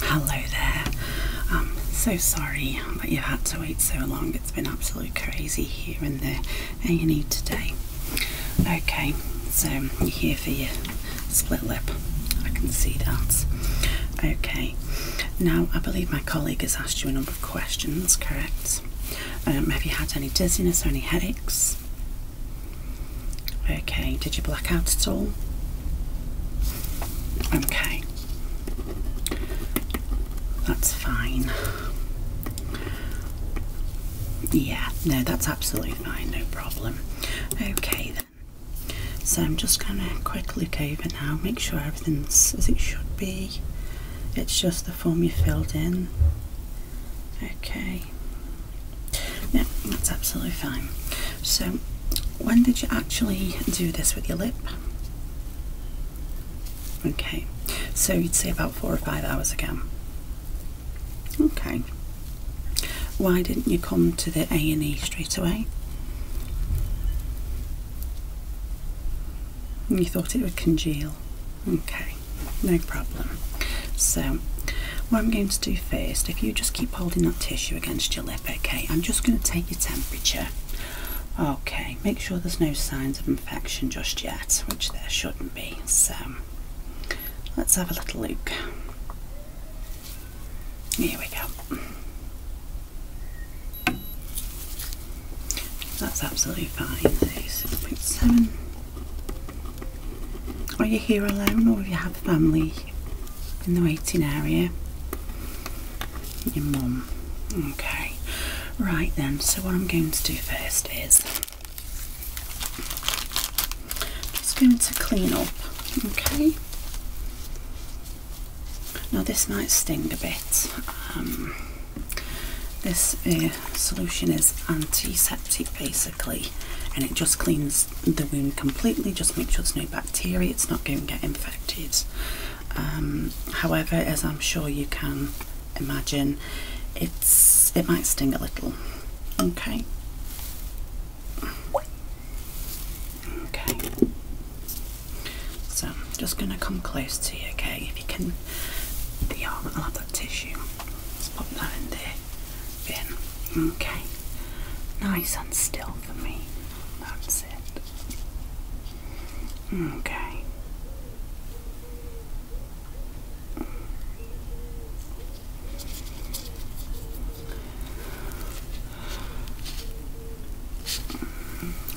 Hello there. so sorry that you've had to wait so long. It's been absolutely crazy here and there, and need today. Okay, so you're here for your split lip. I can see that. Okay, now I believe my colleague has asked you a number of questions, correct? Um, have you had any dizziness or any headaches? Okay, did you black out at all? Okay, that's fine. Yeah, no, that's absolutely fine, no problem. Okay, then. So I'm just going to quickly look over now, make sure everything's as it should be. It's just the form you filled in. Okay. No, that's absolutely fine. So, when did you actually do this with your lip? Okay, so you'd say about four or five hours ago. Okay. Why didn't you come to the A and E straight away? And you thought it would congeal. Okay, no problem. So, what I'm going to do first, if you just keep holding that tissue against your lip, okay, I'm just going to take your temperature. Okay, make sure there's no signs of infection just yet, which there shouldn't be. So, let's have a little look. Here we go. That's absolutely fine, 6.7. Are you here alone or do you have family in the waiting area? Your mum. Okay. Right then, so what I'm going to do first is just going to clean up, okay? Now this might sting a bit. Um, this uh, solution is antiseptic basically and it just cleans the wound completely, just make sure there's no bacteria, it's not going to get infected. Um, however, as I'm sure you can imagine, it's it might sting a little. Okay. Okay. So I'm just gonna come close to you, okay? If you can the arm, i love that tissue. Let's pop that in there. Okay. Nice and still for me. That's it. Okay.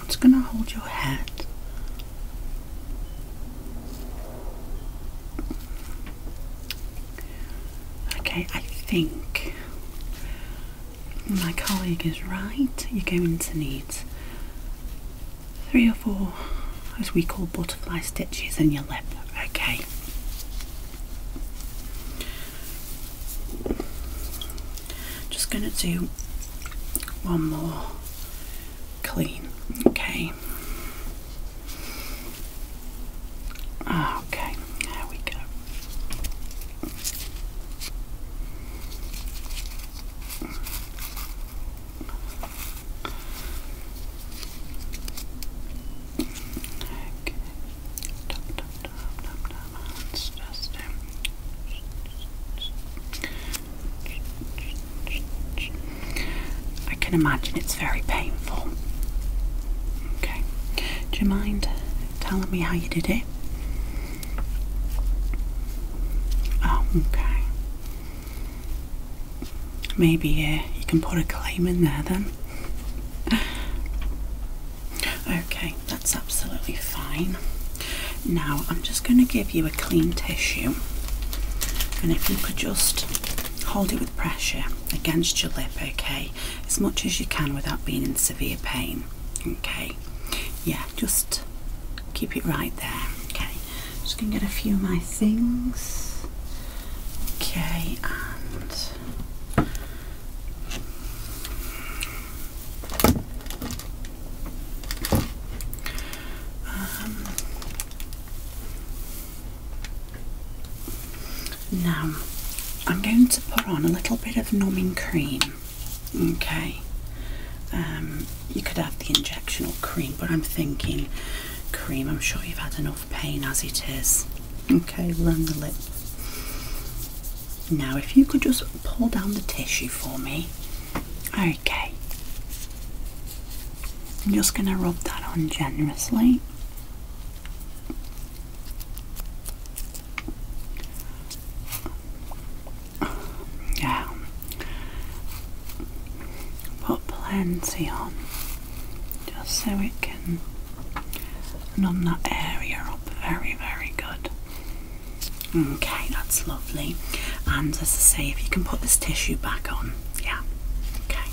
It's gonna hold your hat. Okay, I think my colleague is right. You're going to need three or four, as we call butterfly stitches, in your lip. Okay. Just going to do one more clean. Okay. Ah, okay, there we go. Okay. I can imagine it's very painful. Okay, do you mind telling me how you did it? Oh, okay. Maybe uh, you can put a claim in there then. Okay, that's absolutely fine. Now I'm just going to give you a clean tissue, and if you could just hold it with pressure against your lip, okay, as much as you can without being in severe pain. Okay, yeah, just keep it right there. Okay, just going to get a few of my things. Okay, um, now, I'm going to put on a little bit of numbing cream. Okay, um, you could have the injection or cream, but I'm thinking cream. I'm sure you've had enough pain as it is. Okay, run the lip. Now, if you could just pull down the tissue for me. Okay. I'm just going to rub that on generously. Yeah. Put plenty on just so it can numb that area up very, very good. Okay, that's lovely. And as I say, if you can put this tissue back on, yeah. Okay.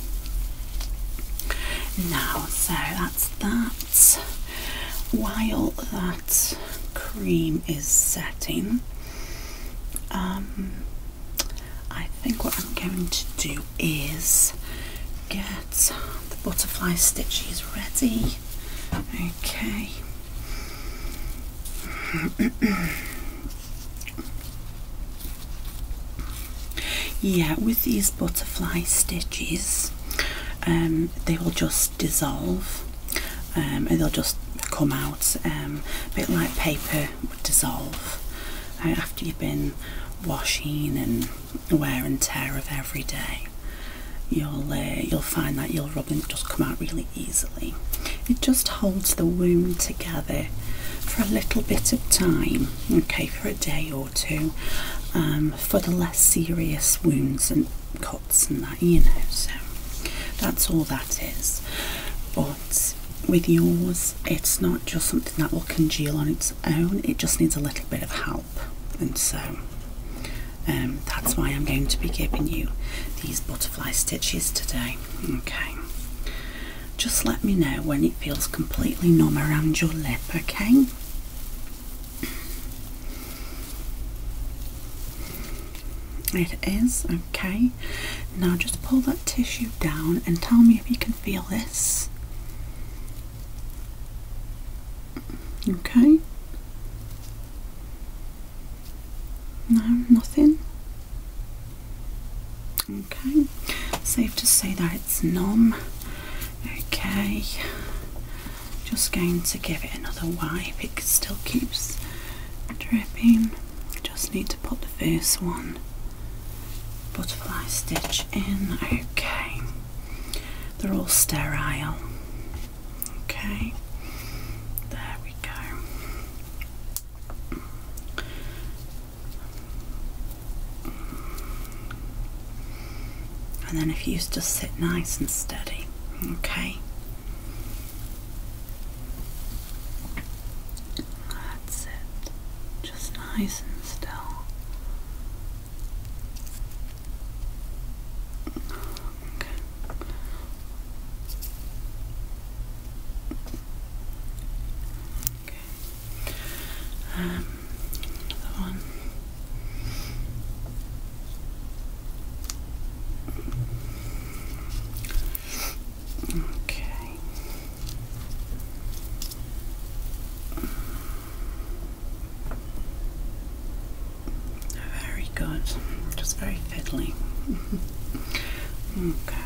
Now, so that's that. While that cream is setting, um, I think what I'm going to do is get the butterfly stitches ready Okay. yeah, with these butterfly stitches, um, they will just dissolve um, and they'll just come out um, a bit like paper would dissolve uh, after you've been washing and wear and tear of every day you'll uh, you'll find that your rubbing does come out really easily it just holds the wound together for a little bit of time okay for a day or two um, for the less serious wounds and cuts and that you know so that's all that is but with yours it's not just something that will congeal on its own it just needs a little bit of help and so um, that's why I'm going to be giving you these butterfly stitches today. Okay. Just let me know when it feels completely numb around your lip, okay? It is, okay. Now just pull that tissue down and tell me if you can feel this. Okay. No, nothing. Okay, safe to say that it's numb. Okay, just going to give it another wipe. It still keeps dripping. Just need to put the first one butterfly stitch in. Okay, they're all sterile. Okay, there we go. And then if you just sit nice and steady, okay. That's it. Just nice and still. Okay. Um, another one. Okay. Very good. Just very fiddly. okay.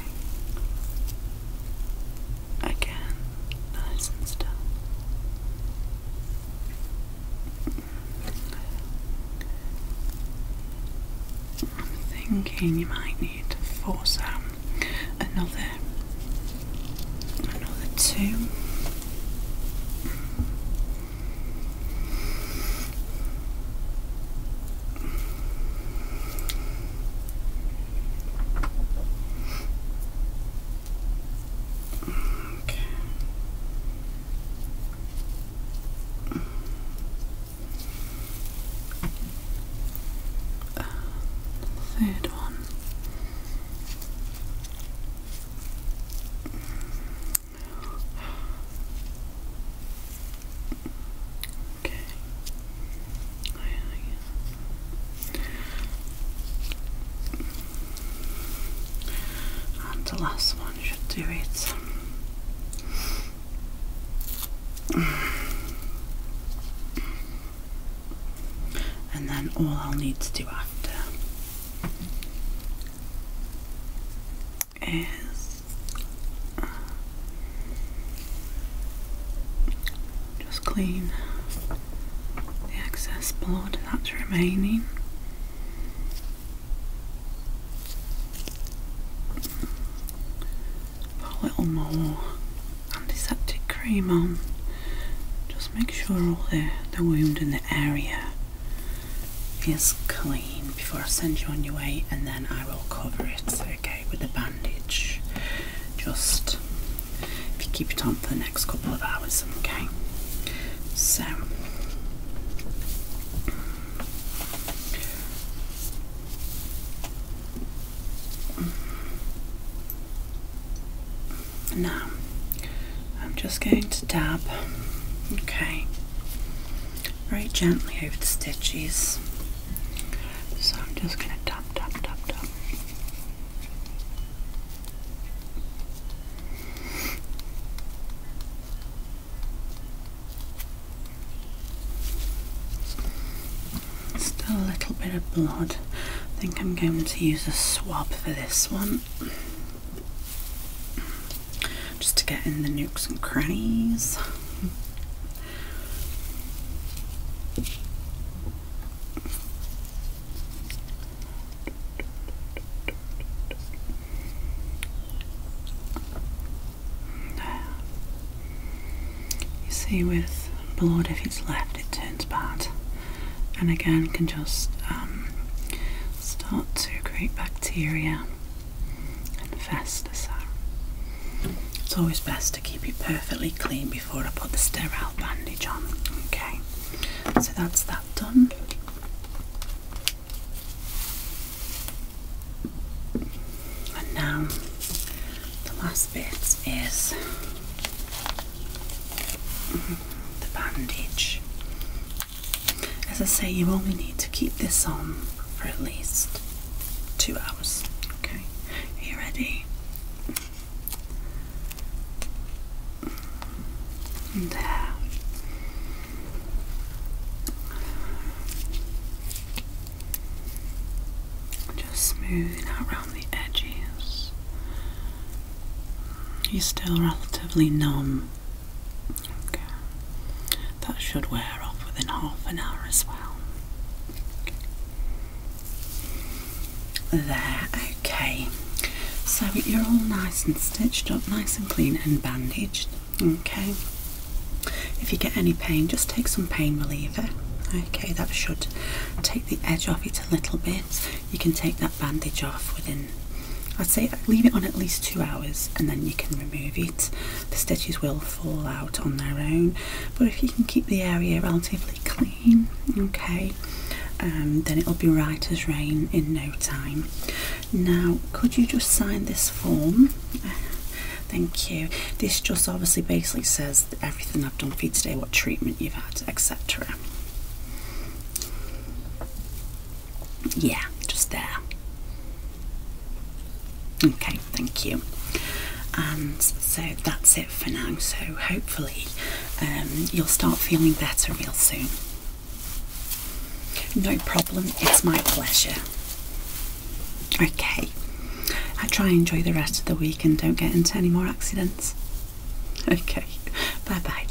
Again, nice and still. I'm thinking you might need to force um, another another two. Okay. Uh, third one. Okay. I, and the last one should do it. And then all I'll need to do after is just clean the excess blood that's remaining. Put a little more antiseptic cream on. Just make sure all the, the wound in the area is clean before I send you on your way, and then I will cover it, okay, with a bandage. Just if you keep it on for the next couple of hours, okay. So now I'm just going to dab, okay, very gently over the stitches. So I'm just going to dab, dab, dab, dab. Still a little bit of blood. I think I'm going to use a swab for this one just to get in the nukes and crannies. You see, with blood, if it's left, it turns bad, and again, can just um, start to create bacteria and festers. So it's always best to keep it perfectly clean before I put the sterile bandage on. Okay, so that's that done. And now the last bit is the bandage as I say, you only need to keep this on for at least two hours. Okay, are you ready? And there. Uh, just smoothing out around the edges. You're still relatively numb Okay. That should wear off within half an hour as well. There, okay. So you're all nice and stitched up, nice and clean and bandaged. Okay. If you get any pain, just take some pain reliever. Okay, that should take the edge off it a little bit you can take that bandage off within I'd say leave it on at least two hours and then you can remove it. The stitches will fall out on their own, but if you can keep the area relatively clean, okay, um, then it'll be right as rain in no time. Now, could you just sign this form? Thank you. This just obviously basically says everything I've done for you today, what treatment you've had, etc. Yeah, just there. Okay, thank you. And um, so that's it for now. So hopefully um, you'll start feeling better real soon. No problem, it's my pleasure. Okay, I try and enjoy the rest of the week and don't get into any more accidents. Okay, bye bye.